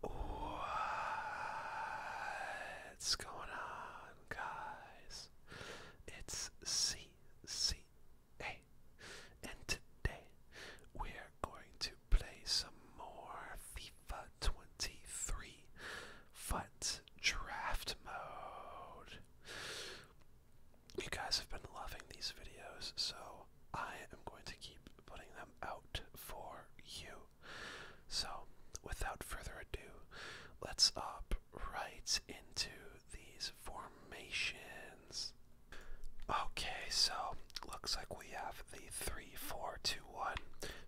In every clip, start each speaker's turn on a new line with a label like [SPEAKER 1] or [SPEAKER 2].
[SPEAKER 1] What's going on, guys? It's CCA, and today we're going to play some more FIFA 23 FUT Draft Mode. You guys have been loving these videos, so I am going to keep putting them out for you. So, without further ado, let's hop right into these formations. Okay, so looks like we have the 3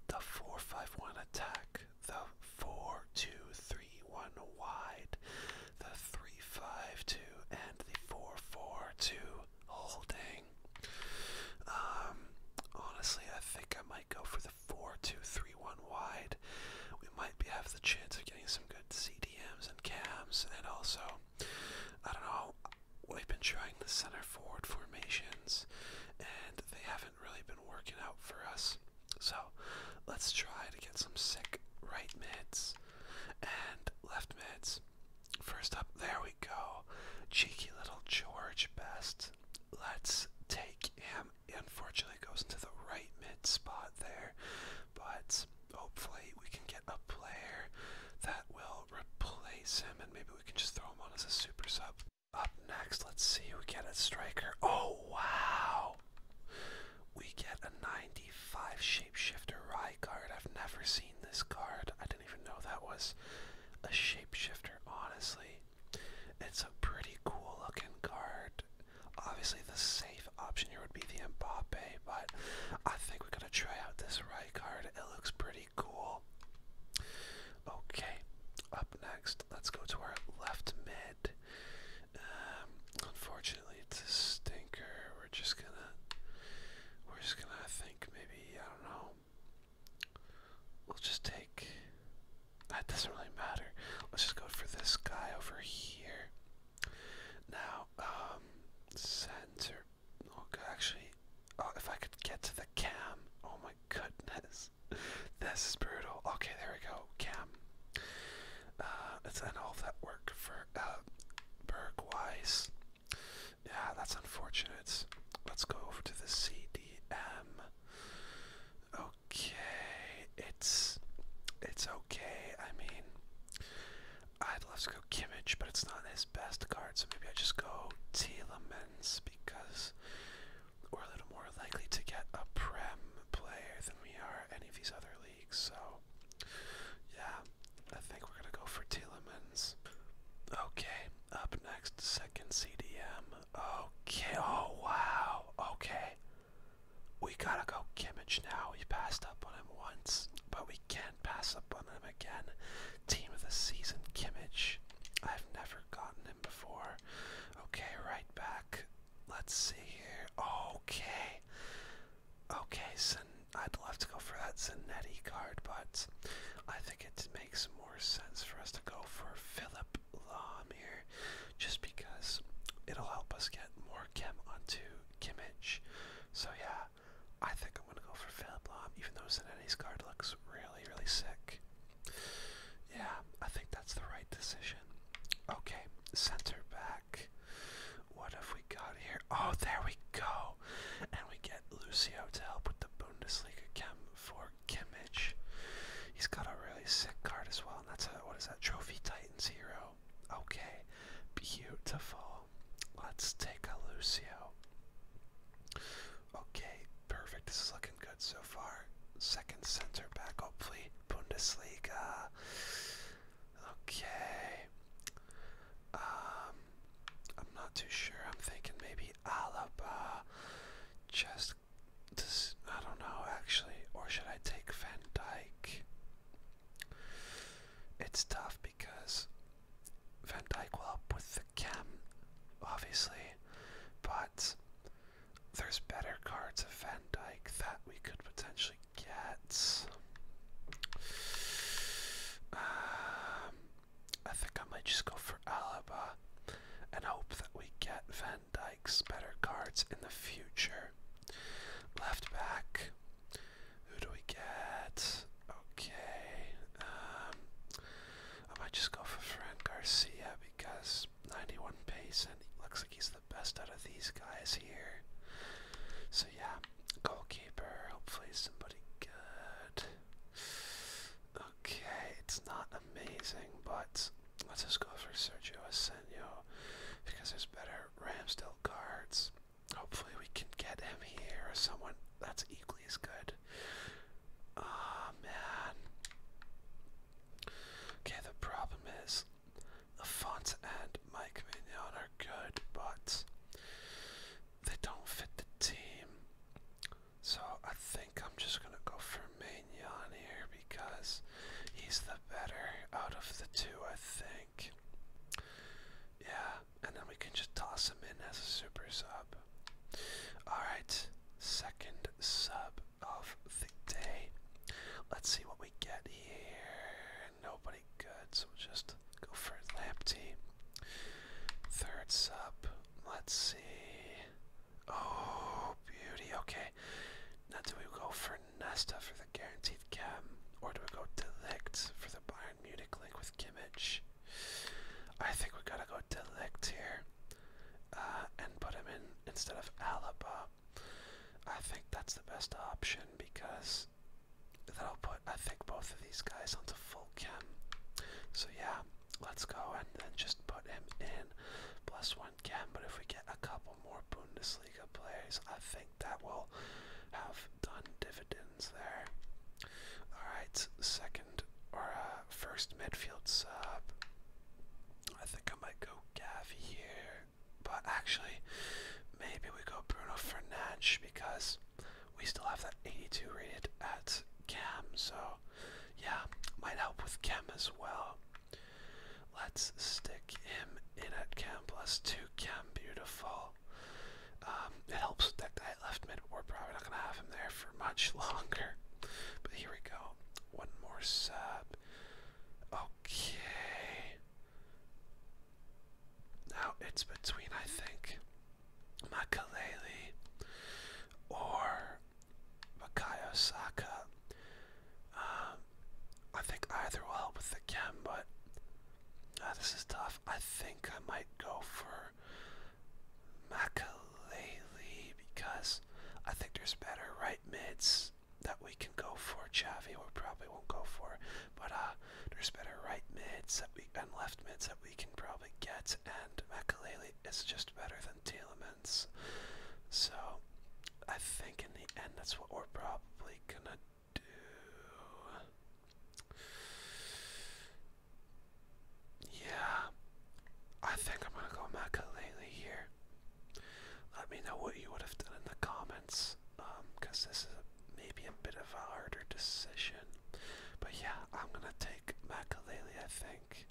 [SPEAKER 1] the four-five-one attack, the four-two-three-one wide, the three-five-two, and the four-four-two holding. Um, honestly, I think I might go for the four-two-three-one wide. We might have the chance of getting some good CDMs and cams, and also, I don't know. We've been trying the center forward formations, and they haven't really been working out for us. So, let's try to get some sick right mids and left mids. First up, there we go. Cheeky little George Best. Let's take him. Unfortunately, goes into the right mid spot there, but hopefully we can get a player that will replace him, and maybe we can just throw him on as a super sub. Up next, let's see. We get a striker. Oh wow! We get a 95 shapeshifter Rye card. I've never seen this card. I didn't even know that was a shapeshifter, honestly. It's a pretty cool looking card. Obviously, the safe option here would be the Mbappe, but I think we're gonna try out this right card. It looks pretty cool. Okay, up next, let's go to our left mid. Um, unfortunately, it's a stinker. We're just gonna, we're just gonna think maybe I don't know. We'll just take. That doesn't really matter. Let's just go for this guy over here. Now, um, center. Okay, oh, actually, oh, if I could get to the cam. Oh my goodness, this is brutal. Okay, there we go. Cam. Uh, let all that work for uh, Bergwise. Yeah, that's unfortunate. Let's go over to the CDM. Okay, it's it's okay. I mean, I'd love to go Kimmich, but it's not his best card, so maybe I just go Telemans because we're a little more likely to get a Prem player than we are any of these other leagues. So, yeah, I think we're gonna go for Telemans. Okay, up next, second CDM. Okay, oh wow, okay. We gotta go Kimmich now. We passed up on him once, but we can't pass up on him again. Team of the season, Kimmich. I've never gotten him before. Okay, right back. Let's see here. Okay. Okay, so I'd love to go for that Zanetti card, but I think it makes more sense for us to go for Philip Lahm here, just because it'll help us get more Kim onto Kimmich. So yeah, I think I'm gonna go for Philip Lahm, even though Zanetti's card looks really, really sick. Yeah, I think that's the right decision. Okay, center back. What have we got here? Oh, there we go and we get Lucio to help with the Bundesliga camp for Kimmich. He's got a really sick card as well, and that's a what is that Trophy Titans hero? Okay, beautiful. Let's take a Lucio. Okay, perfect. This is looking good so far. Second center back, hopefully Bundesliga. Okay, um, I'm not too sure. I'm thinking maybe Alaba. Just, this, I don't know actually. Or should I take Van Dyke? It's tough because Van Dyke will help with the chem, obviously, but there's better cards of Van Dyke that we could potentially get. Um, I think I might just go for Alaba and hope that we get Van Dyke's better cards in the future. Left back. Who do we get? Okay. Um, I might just go for Fran Garcia because 91 pace and looks like he's the best out of these guys here. So yeah, goalkeeper. Hopefully somebody good. Okay, it's not amazing, but let's just go for Sergio Asenio because there's better Ramsdale cards. Hopefully, we can get him here or someone that's equally as good. Ah, man. Okay, the problem is Afonso and Mike Mignon are good, but they don't fit the team. So I think I'm just gonna go for Maignan here because he's the better out of the two, I think. Yeah, and then we can just toss him in as a super sub. Alright, second sub of the day. Let's see what we get here nobody good, so we'll just go for Lamptey. Third sub. Let's see. Oh, beauty. Okay. Now, do we go for Nesta for the guaranteed cam, or do we go Delict for the Bayern Munich link with Kimmich? I think we gotta go Delict here uh, and put him in instead of Alaba. I think that's the best option because that'll put I think both of these guys onto full cam. So yeah, let's go and then just put him in plus one cam. But if we get a couple more Bundesliga players, I think that will have done dividends there. Alright, second or uh, first midfield sub. I think I might go Gavi here. But actually, maybe we go Bruno Fernandes because we still have that 82 rated at cam, so yeah, might help with cam as well. Let's stick him in at cam plus two cam, beautiful. Um, it helps with that guy left mid. We're probably not gonna have him there for much longer. But here we go. One more sub. Okay. Now it's between, I think, Makaleli or Makayo Um, I think either will help with the chem, but ah, this is tough. I think I might go for Makaleli because I think there's better right mids that we can go for. Javi, we probably won't go for. But uh, there's better right mids that we and left mids that we can probably get, and Makalele is just better than Telemans. So I think in the end that's what we're probably gonna do. Yeah, I think I'm gonna go Makalele here. Let me know what you would have done in the comments, um, cause this is a maybe a bit of a harder decision. But yeah, I'm gonna take Makalele, I think.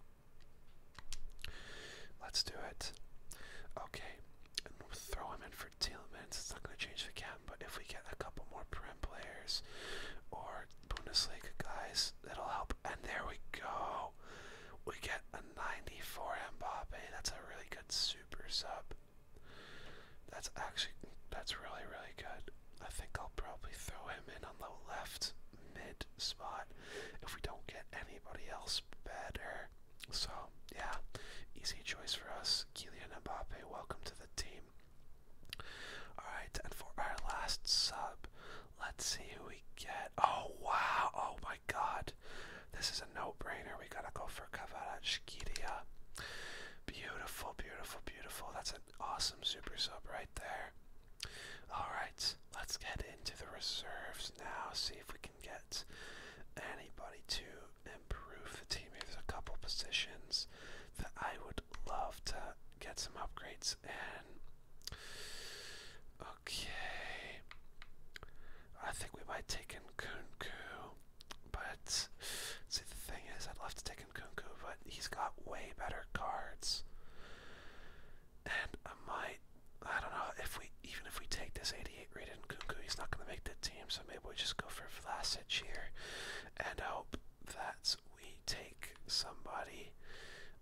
[SPEAKER 1] Let's do it. Okay, throw him in for Telemans. It's not gonna change the camp, but if we get a couple more Prem players or Bundesliga guys, it'll help. And there we go. We get a 94 Mbappe. That's a really good super sub. That's actually that's really really good. I think I'll probably throw him in on the left mid spot if we don't get anybody else better. So yeah, easy choice for us. Kylian Mbappe, welcome to the team. Alright, and for our last sub, let's see who we get. Oh wow, oh my god. This is a no-brainer. We gotta go for Kavara Shkiria. Beautiful, beautiful, beautiful. That's an awesome super sub right there. All right, let's get into the reserves now. See if we can get anybody to improve the team. Maybe there's a couple positions that I would love to get some upgrades in. Okay, I think we might take in Kunku. But see, the thing is, I'd love to take him Nkunku, but he's got way better cards, and I might. I don't know if we even if we take this 88 rated Nkunku, he's not gonna make the team. So maybe we just go for Vlasic here, and hope that we take somebody,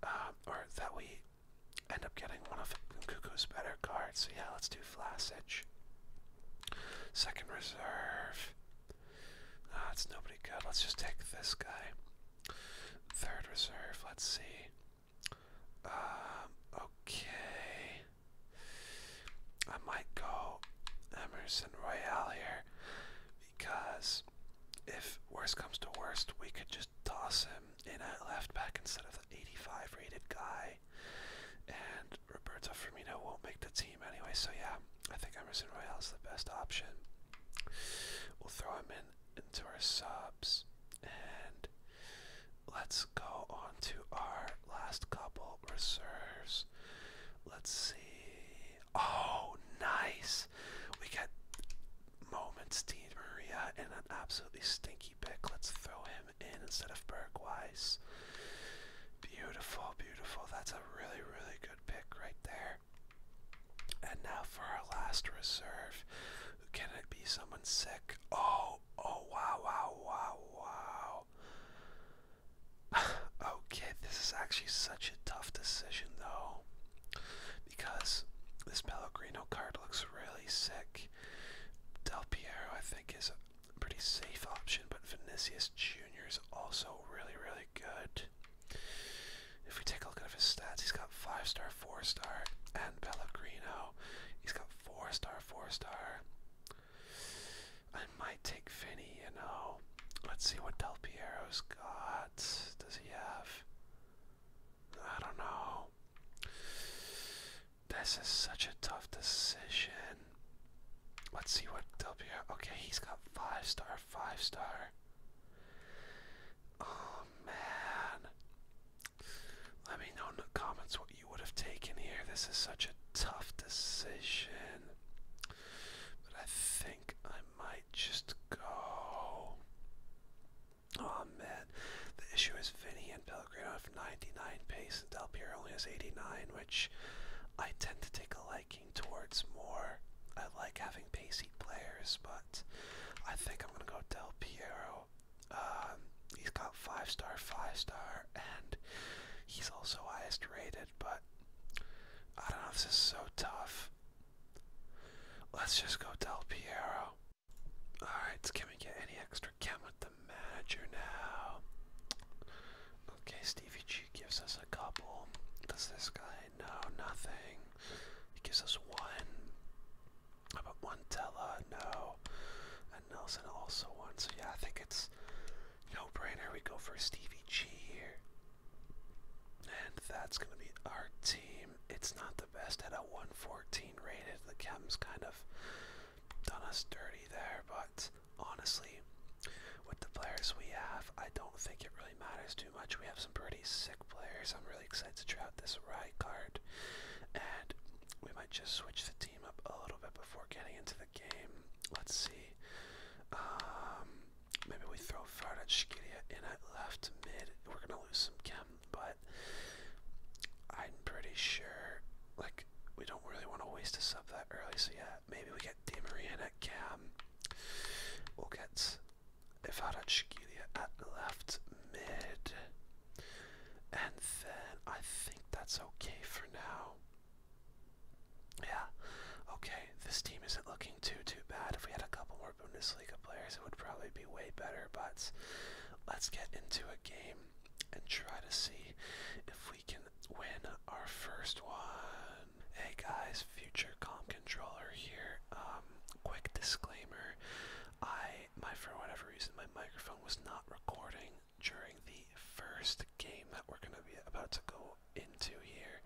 [SPEAKER 1] um, or that we end up getting one of Nkunku's better cards. So yeah, let's do Vlasic. Second reserve. Ah, it's nobody good. Let's just take this guy. Third reserve. Let's see. Um, okay. I might go Emerson Royale here because if worst comes to worst, we could just toss him in at left back instead of the 85 rated guy and Roberto Firmino won't make the team anyway, so yeah, I think Emerson Royale is the best option. We'll throw him in into our subs, and let's go on to our last couple reserves. Let's see. Oh, nice! We got Moments Dean Maria and an absolutely stinky pick. Let's throw him in instead of Bergweiss. Beautiful, beautiful. That's a really, really good pick right there. And now for our last reserve. Can it be someone sick? Oh, oh, wow, wow, wow, wow. okay, this is actually such a tough decision, though. Because this Pellegrino card looks really sick. Del Piero, I think, is pretty safe option, but Vinicius Jr. is also really, really good. If we take a look at his stats, he's got 5 star, 4 star, and Pellegrino. He's got 4 star, 4 star. I might take Finny, you know. Let's see what Del Piero's got. Does he have. I don't know. This is such a tough decision. Let's see what W. Okay, he's got five star, five star. Oh man. Let me know in the comments what you would have taken here. This is such a tough decision. But I think I might just go. Oh man. The issue is Vinny and Bill Pellegrino have 99 pace and Del Piero only has 89, which I tend to take a liking towards more. I like having pacey players, but I think I'm gonna go Del Piero. Um, he's got five star, five star, and he's also highest rated. But I don't know if this is so tough. Let's just go Del Piero. Alright, can we get any extra? Cam with the manager now. Okay, Stevie G gives us a couple. Does this guy? know nothing. He gives us one. about one No. And Nelson also one. So yeah, I think it's no brainer. We go for Stevie G here. And that's gonna be our team. It's not the best at a 114 rated. The Chem's kind of done us dirty there, but honestly, with the players we have, I don't think it really matters too much. We have some pretty sick players. I'm really excited to try out this ride card, and we might just switch the team up a little bit before getting into the game. Let's see. Um, maybe we throw Farda Shkiria in at left mid. We're gonna lose some chem, but I'm pretty sure. Like we don't really want to waste a sub that early. So yeah, maybe we get Di at cam. We'll get Ivarachkilia at left mid. And then I think that's okay for now. Yeah. Okay, this team isn't looking too too bad. If we had a couple more Bundesliga players, it would probably be way better, but let's get into a game and try to see if we can win our first one. Hey guys, future Calm Controller here. Um, quick disclaimer: I, my for whatever reason, my microphone was not recording during the first game that we're gonna be about to go into here,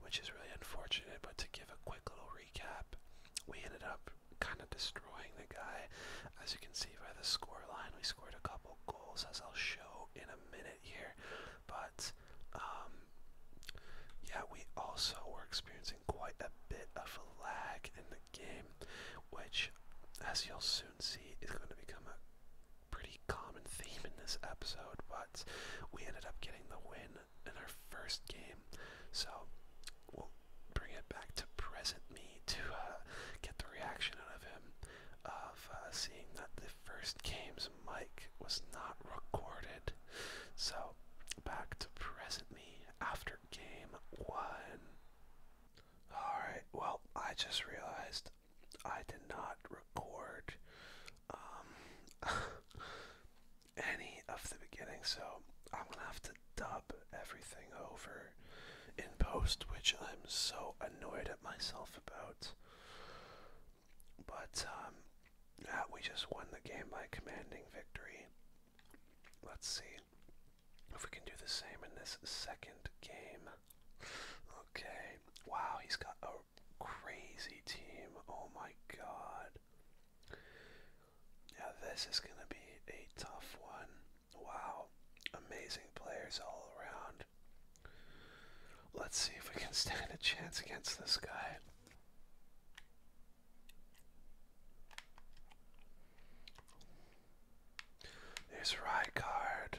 [SPEAKER 1] which is really unfortunate. But to give a quick little recap, we ended up kind of destroying the guy, as you can see by the score line. We scored a couple goals, as I'll show in a minute here. But um, yeah, we also were experiencing quite a bit of a lag in the game, which, as you'll soon see, is going to become a pretty common theme in this episode. But we ended up getting the win in our first game, so we'll bring it back to present me to uh, get the reaction out of him of uh, seeing that the first game's mic was not recorded. So back to present me after game one. Alright, well, I just realized I did not record um, any of the beginning, so I'm gonna have to dub everything over in post, which I'm so annoyed at myself about. But um, yeah, we just won the game by commanding victory. Let's see if we can do the same in this second game. Okay. Wow, he's got a crazy team. Oh my god. Yeah, this is going to be a tough one. Wow, amazing players all around. Let's see if we can stand a chance against this guy. There's Rykard,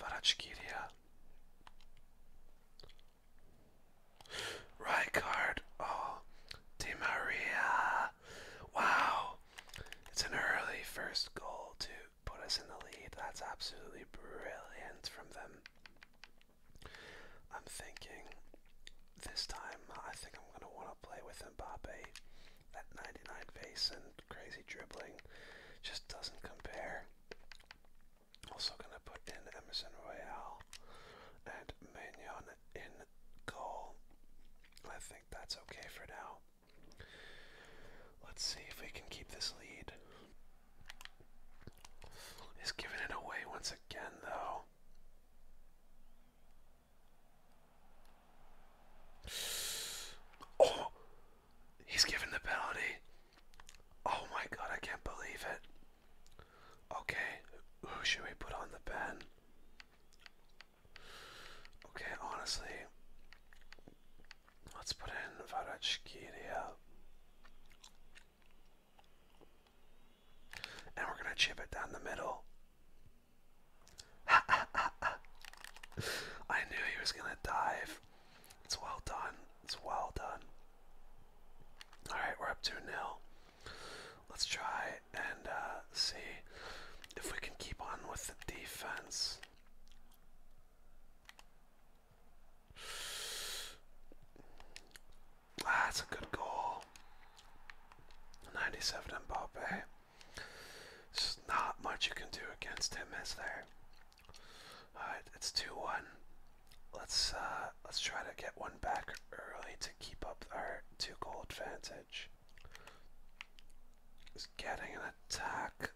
[SPEAKER 1] Varachkiria. Rykard, oh, Di Maria, wow. It's an early first goal to put us in the lead. That's absolutely brilliant from them. I'm thinking this time I think I'm going to want to play with Mbappe. That 99 pace and crazy dribbling just doesn't compare. Also going to put in Emerson Royale and Mignon in goal. I think that's okay for now. Let's see if we can keep this lead. He's giving it away once again, though. Oh! He's given the penalty. Oh my god, I can't believe it. Okay, who should we put on the pen? Okay, honestly, let's put in Varachkiria. And we're gonna chip it down the middle. I knew he was gonna dive. It's well done. It's well done. Alright, we're up 2 0. Let's try and uh, see if we can keep on with the defense. that's a good goal. 97 Mbappe. There's not much you can do against him, is there? Alright, it's 2-1. Let's uh, let's try to get one back early to keep up our two goal advantage. He's getting an attack.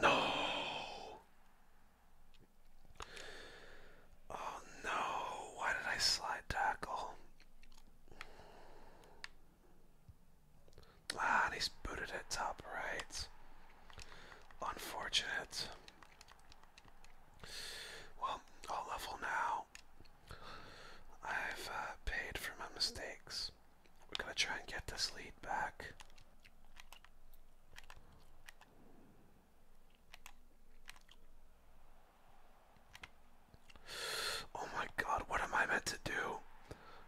[SPEAKER 1] No. Oh no, why did I slide tackle? Ah, he's booted at top right. Unfortunate. Well, i level now. I've uh, paid for my mistakes. We're gonna try and get this lead back. Oh my god, what am I meant to do?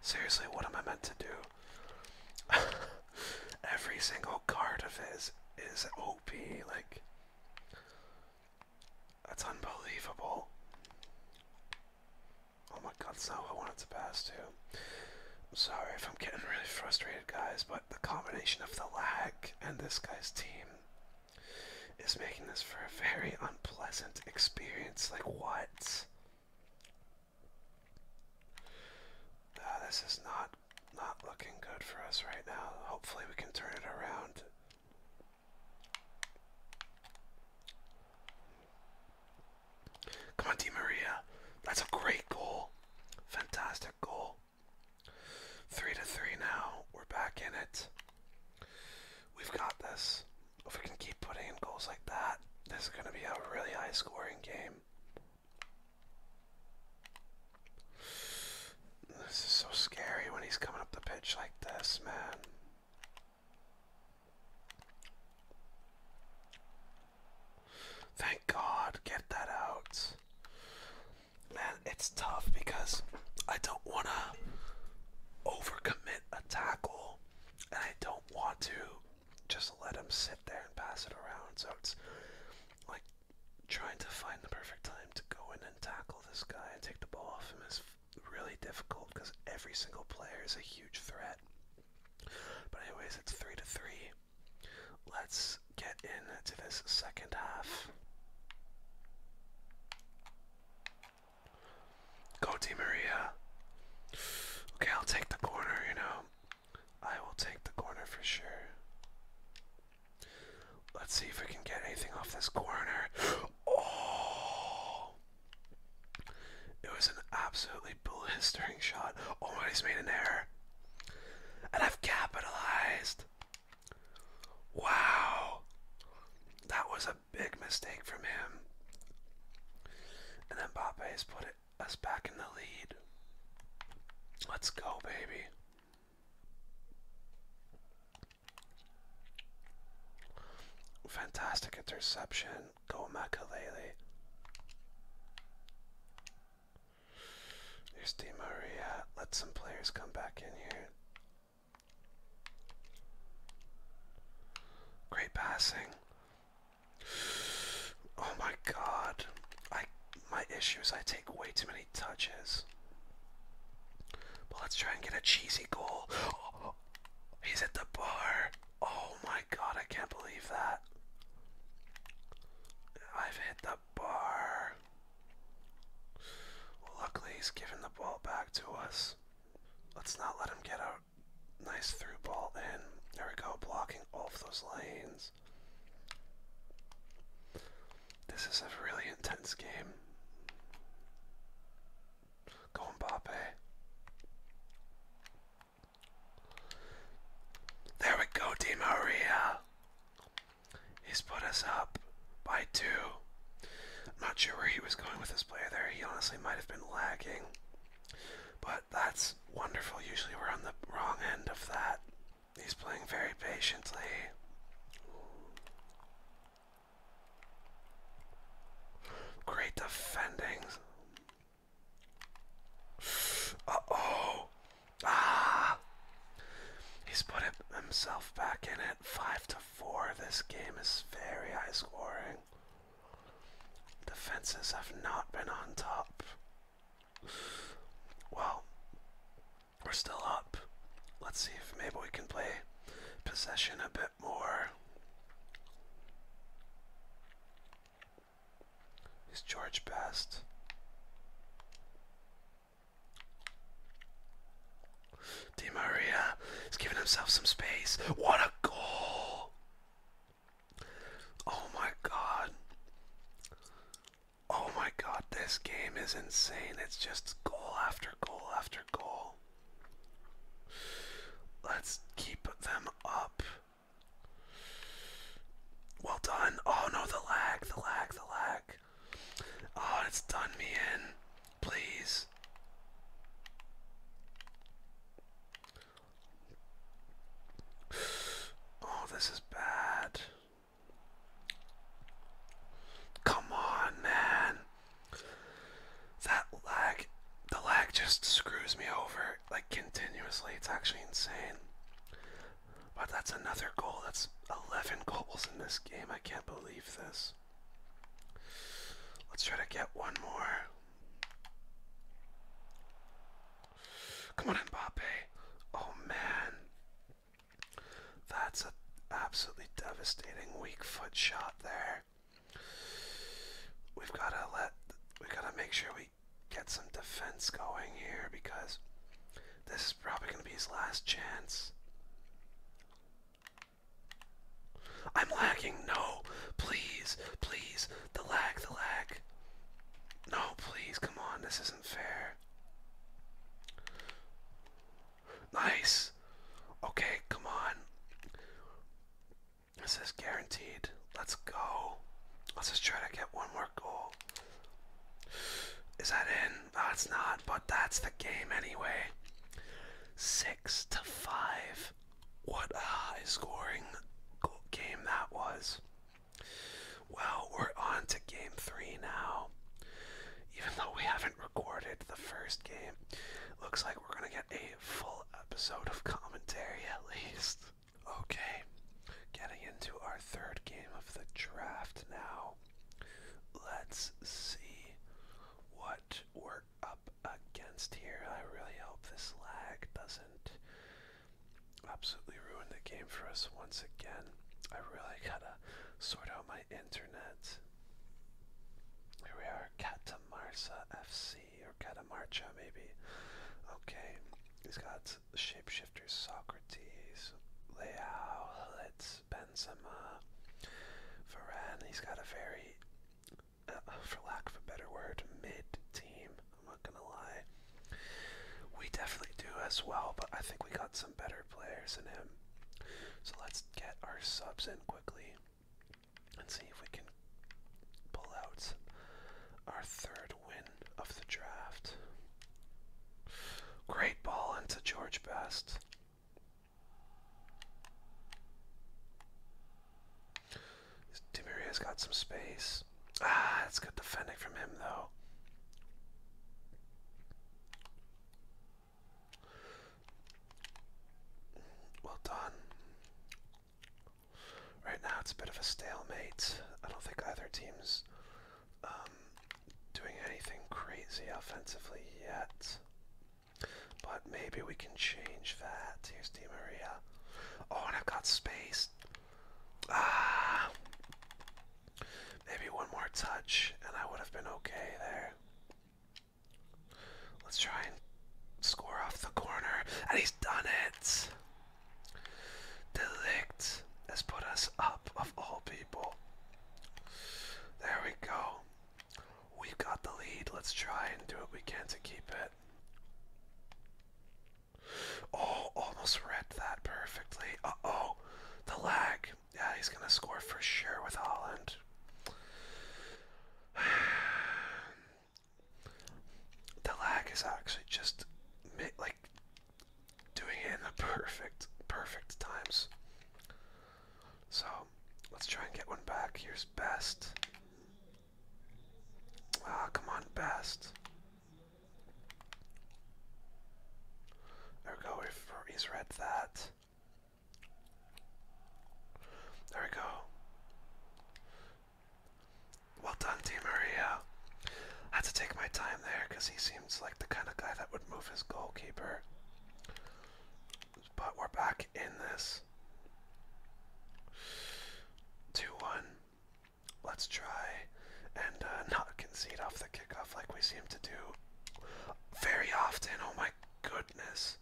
[SPEAKER 1] Seriously, what am I meant to do? Every single card of his is OP. Like, that's unbelievable. Oh my god, that's not what I wanted to pass to. sorry if I'm getting really frustrated, guys, but the combination of the lag and this guy's team is making this for a very unpleasant experience. Like, what? Ah, this is not not looking good for us right now. Hopefully we can turn it around. Come on, Di Maria. That's a great goal. Fantastic goal. Three to three now. We're back in it. We've got this. If we can keep putting in goals like that, this is going to be a really high scoring game. This is so scary when he's coming up the pitch like this, man. Thank God, get that out. Man, it's tough because I don't want to overcommit a tackle and I don't want to just let him sit there and pass it around. So it's like trying to find the perfect time to go in and tackle this guy and take the ball off him is really difficult because every single player is a huge threat. But anyways, it's three to three. Let's get into this second half. Go Di Maria. Okay, I'll take the corner, you know. I will take the corner for sure. Let's see if we can get anything off this corner. Oh! It was an absolutely blistering shot. Oh, he's made an error. And I've capitalized. Wow. That was a big mistake from him. And then Mbappe has put it us back in the lead. Let's go, baby. Fantastic interception. Go Makalele. Here's Di Maria. Let some players come back in here. Great passing. Oh my god. I my issue is I take way too many touches. But let's try and get a cheesy goal. he's at the bar. Oh my god, I can't believe that. I've hit the bar. Well, luckily he's given the ball back to us. Let's not let him get out. Nice through ball in. There we go, blocking off those lanes. This is a really intense game. Go Mbappe. There we go, Di Maria. He's put us up by two. I'm not sure where he was going with this player there. He honestly might have been lagging. But that's wonderful. Usually we're on the wrong end of that. He's playing very patiently. Great defending. Uh oh. Ah. He's put himself back in it. Five to four. This game is very high scoring. Defenses have not been on top. Well, we're still up. Let's see if maybe we can play possession a bit more. Is George Best? Di Maria is giving himself some space. What a goal! Oh my god. Oh my god, this game is insane. It's just goal after goal after goal. Let's keep them up. Well done. Oh no, the lag, the lag, the lag. Oh, it's done me in. Please. Oh, this is bad. Come on, man. That lag, the lag just screws me over like continuously. It's actually insane. But that's another goal. That's 11 goals in this game. I can't believe this. Let's try to get one more. Come on, Mbappe. Oh man. That's an absolutely devastating weak foot shot there. We've gotta let we gotta make sure we get some defense going here because this is probably gonna be his last chance. I'm lagging. No, please, please. The lag, the lag. No, please, come on, this isn't fair. Nice. Okay, come on. This is guaranteed. Let's go. Let's just try to get one more goal. Is that in? That's not, but that's the game anyway. Six to five. What a high scoring game that was. Well, we're on to game three now. Even though we haven't recorded the first game, looks like we're gonna get a full episode of commentary at least. Okay, getting into our third game of the draft now. Let's see what we up against here. I really hope this lag doesn't absolutely ruin the game for us once again. I really gotta sort out my internet. Here we are, Katamarsa FC, or Katamarcha maybe. Okay, he's got Shapeshifter Socrates, Leao, Litz, Benzema, Varane. He's got a very uh, for lack of a better word, mid team. I'm not gonna lie. We definitely do as well, but I think we got some better players in him. So let's get our subs in quickly and see if we can pull out our third win of the draft. Great ball into George Best. Demiria's got some space. Ah, that's good defending from him, though. Well done. Right now it's a bit of a stalemate. I don't think either team's um, doing anything crazy offensively yet. But maybe we can change that. Here's Di Maria. Oh, and I've got space. Ah, maybe one more touch, and I would have been okay there. Let's try and score off the corner, and he's done it. Delict has put us up, of all people. There we go. We've got the lead. Let's try and do what we can to keep it. Oh, almost read that perfectly. Uh oh, the lag. Yeah, he's gonna score for sure with Holland. The lag is actually just like doing it in the perfect, perfect times. So let's try and get one back. Here's best. Ah, come on, best. There we go, he's read that. There we go. Well done, Di Maria. I had to take my time there because he seems like the kind of guy that would move his goalkeeper. But we're back in this. 2 1. Let's try and uh, not concede off the kickoff like we seem to do very often. Oh my goodness.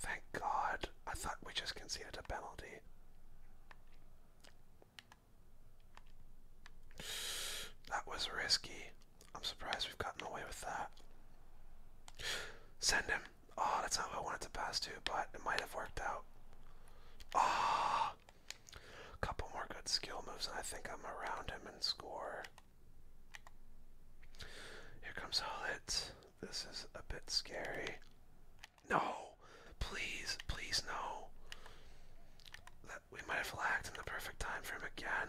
[SPEAKER 1] Thank God. I thought we just conceded a penalty. That was risky. I'm surprised we've gotten away with that. Send him. Oh, that's not what I wanted to pass to, but it might have worked out. Ah, a couple more good skill moves, and I think I'm around him and score. Here comes Hullet. This is a bit scary. No, please, please no. That we might have lacked in the perfect time frame again.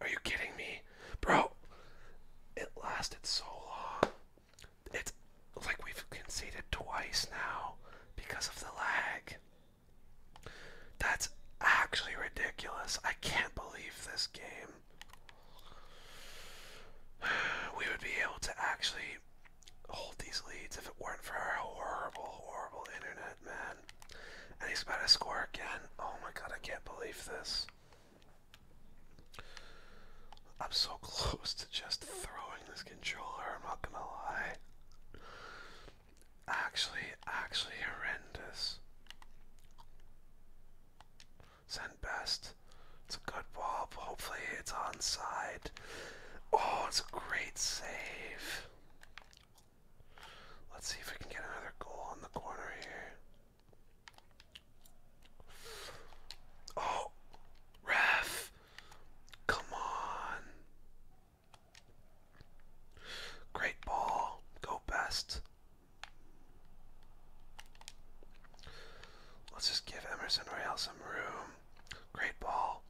[SPEAKER 1] Are you kidding me? Bro, it lasted so long. It's like we've conceded twice now because of the lag. That's actually ridiculous. I can't believe this game. We would be able to actually hold these leads if it weren't for our horrible, horrible internet, man. And he's about to score again. Oh my god, I can't believe this. I'm so close to just throwing this controller, I'm not gonna lie. Actually, actually horrendous. Send best. It's a good ball, hopefully it's onside. Oh, it's a great save. Let's see if we can get another goal in the corner here. Oh, ref. Come on. Great ball. Go best. Let's just give Emerson Royale some room. Great ball.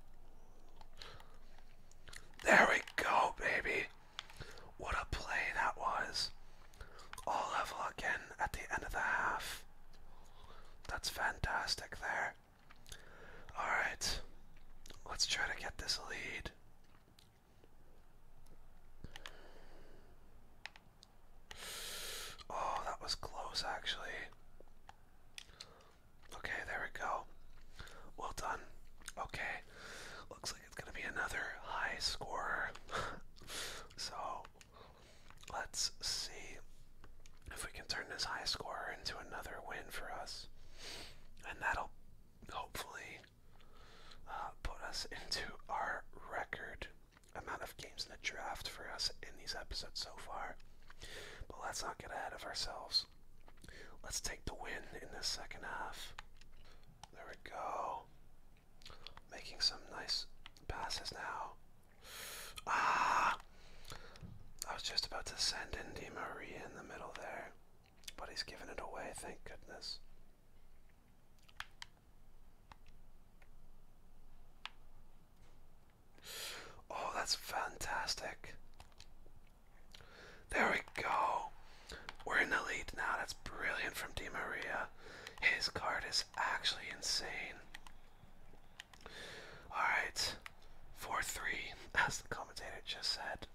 [SPEAKER 1] There we go, baby. What a play that was. All level again at the end of the half. That's fantastic there. Alright, let's try to get this lead. Oh, that was close actually. Okay, there we go. Well done. Okay, looks like it's going to be another high score, so let's see if we can turn this high score into another win for us. And that'll hopefully uh, put us into our record amount of games in the draft for us in these episodes so far. But let's not get ahead of ourselves. Let's take the win in the second half. There we go. Making some nice passes now. Ah! I was just about to send in Di in the middle there, but he's given it away, thank goodness. Oh, that's fantastic. There we go. We're in the lead now. That's brilliant from Di Maria. His card is actually insane. Alright. 4 3, as the commentator just said.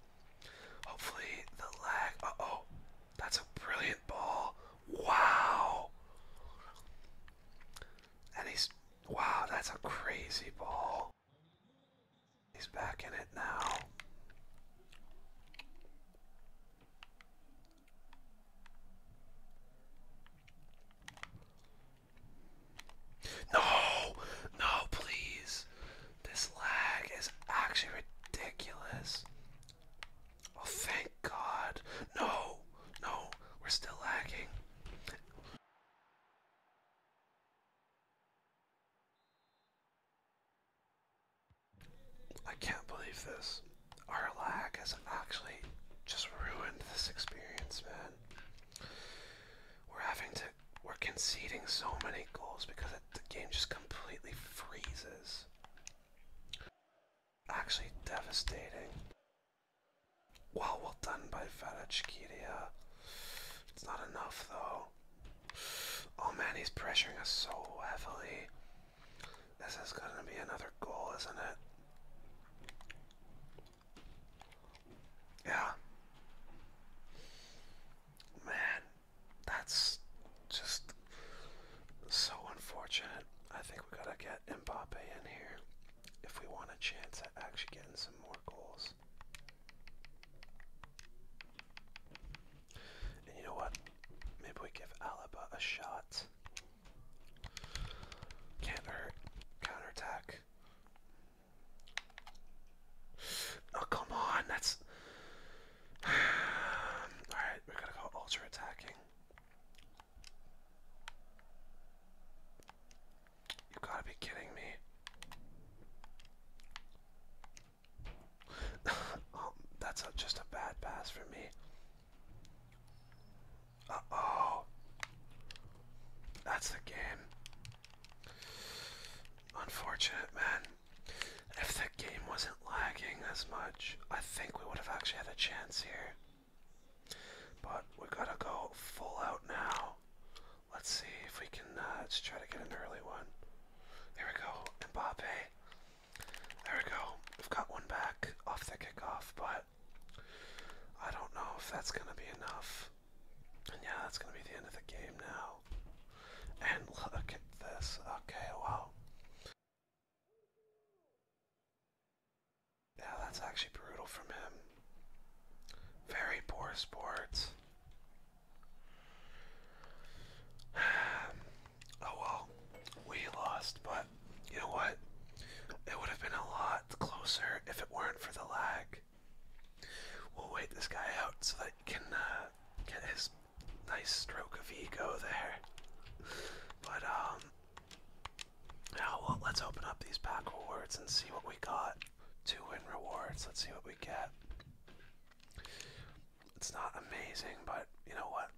[SPEAKER 1] Hopefully, the lag. Uh oh. That's a brilliant ball. Wow. And he's. Wow, that's a crazy ball. He's back in it now. No, no, please. This lag is actually ridiculous. Oh, thank God. No, no, we're still lagging. I can't believe this. Our lag has actually just ruined this experience, man. We're having to, we're conceding so many goals because the game just completely freezes. Actually devastating. Well, well done by Vadachikidia. It's not enough though. Oh man, he's pressuring us so heavily. This is gonna be another goal, isn't it? Yeah. Man, that's just so unfortunate. I think we gotta get Mbappe in here if we want a chance at actually getting some more goals. And you know what? Maybe we give Alaba a shot. can Counterattack. Oh, come on. That's. Alright, we're gonna go ultra attacking. You gotta be kidding me. that's just a bad pass for me. Uh oh. That's the game. Unfortunate, man. If the game wasn't lagging as much, I think we would have actually had a chance here. But we gotta go full out now. Let's see if we can, uh, let's try to get an early one. There we go, Mbappe. There we go. We've got one back off the kickoff, but I don't know if that's going to be enough. And yeah, that's going to be the end of the game now. And look at this. Okay, wow. Yeah, that's actually brutal from him. Very poor sports. oh well, we lost, but you know what? It would have been a lot closer if it weren't for the lag. We'll wait this guy out so that he can uh, get his nice stroke of ego there. But now um, let's open up these pack rewards and see what we got. Two win rewards. Let's see what we get. It's not amazing, but you know what?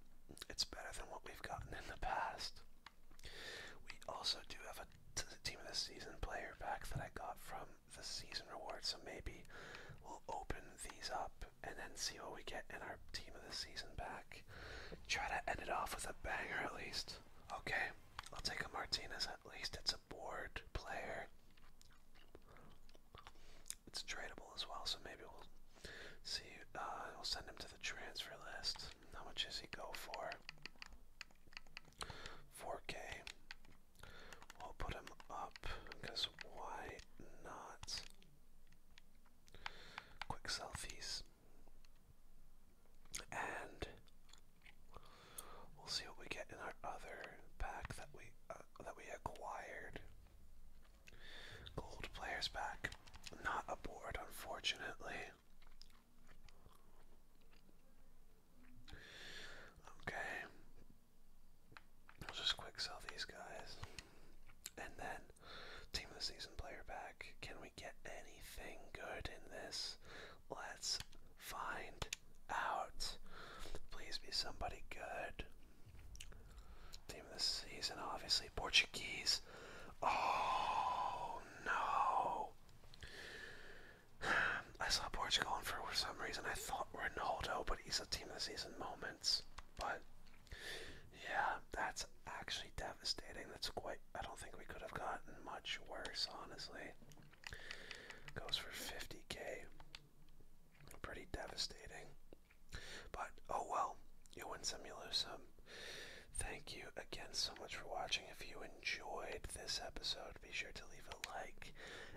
[SPEAKER 1] It's better than what we've gotten in the past. We also do have a team of the season player pack that I got from the season reward, so maybe we'll open these up and then see what we get in our team of the season pack. Try to end it off with a banger at least. Okay, I'll take a Martinez at least. It's a board player. It's tradable as well, so maybe we'll see. Uh, we'll send him to the transfer list. How much does he go for? 4K. We'll put him up because why not? Quick selfies. And We'll see what we get in our other pack that we uh, that we acquired. Gold players pack, not aboard, unfortunately. Okay, I'll just quick sell these guys, and then team of the season player pack. Can we get anything good in this? Let's find out. Please be somebody good. Team of the season, obviously. Portuguese. Oh, no. I saw Portugal, and for some reason I thought Ronaldo, but he's a team of the season moments. But, yeah, that's actually devastating. That's quite, I don't think we could have gotten much worse, honestly. Goes for 50k pretty devastating. But oh well, you win some, you lose some. Thank you again so much for watching. If you enjoyed this episode, be sure to leave a like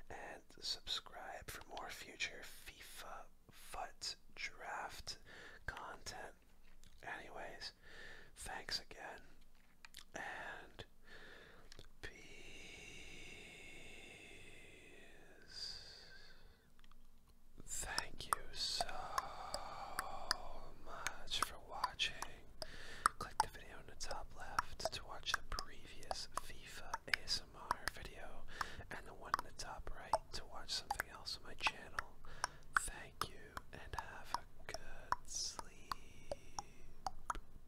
[SPEAKER 1] and subscribe for more future FIFA FUT draft content. Anyways, thanks again, and Peace. Thank you so much for watching. Click the video in the top left to watch the previous FIFA ASMR video and the one in the top right to watch something else on my channel. Thank you and have a good sleep.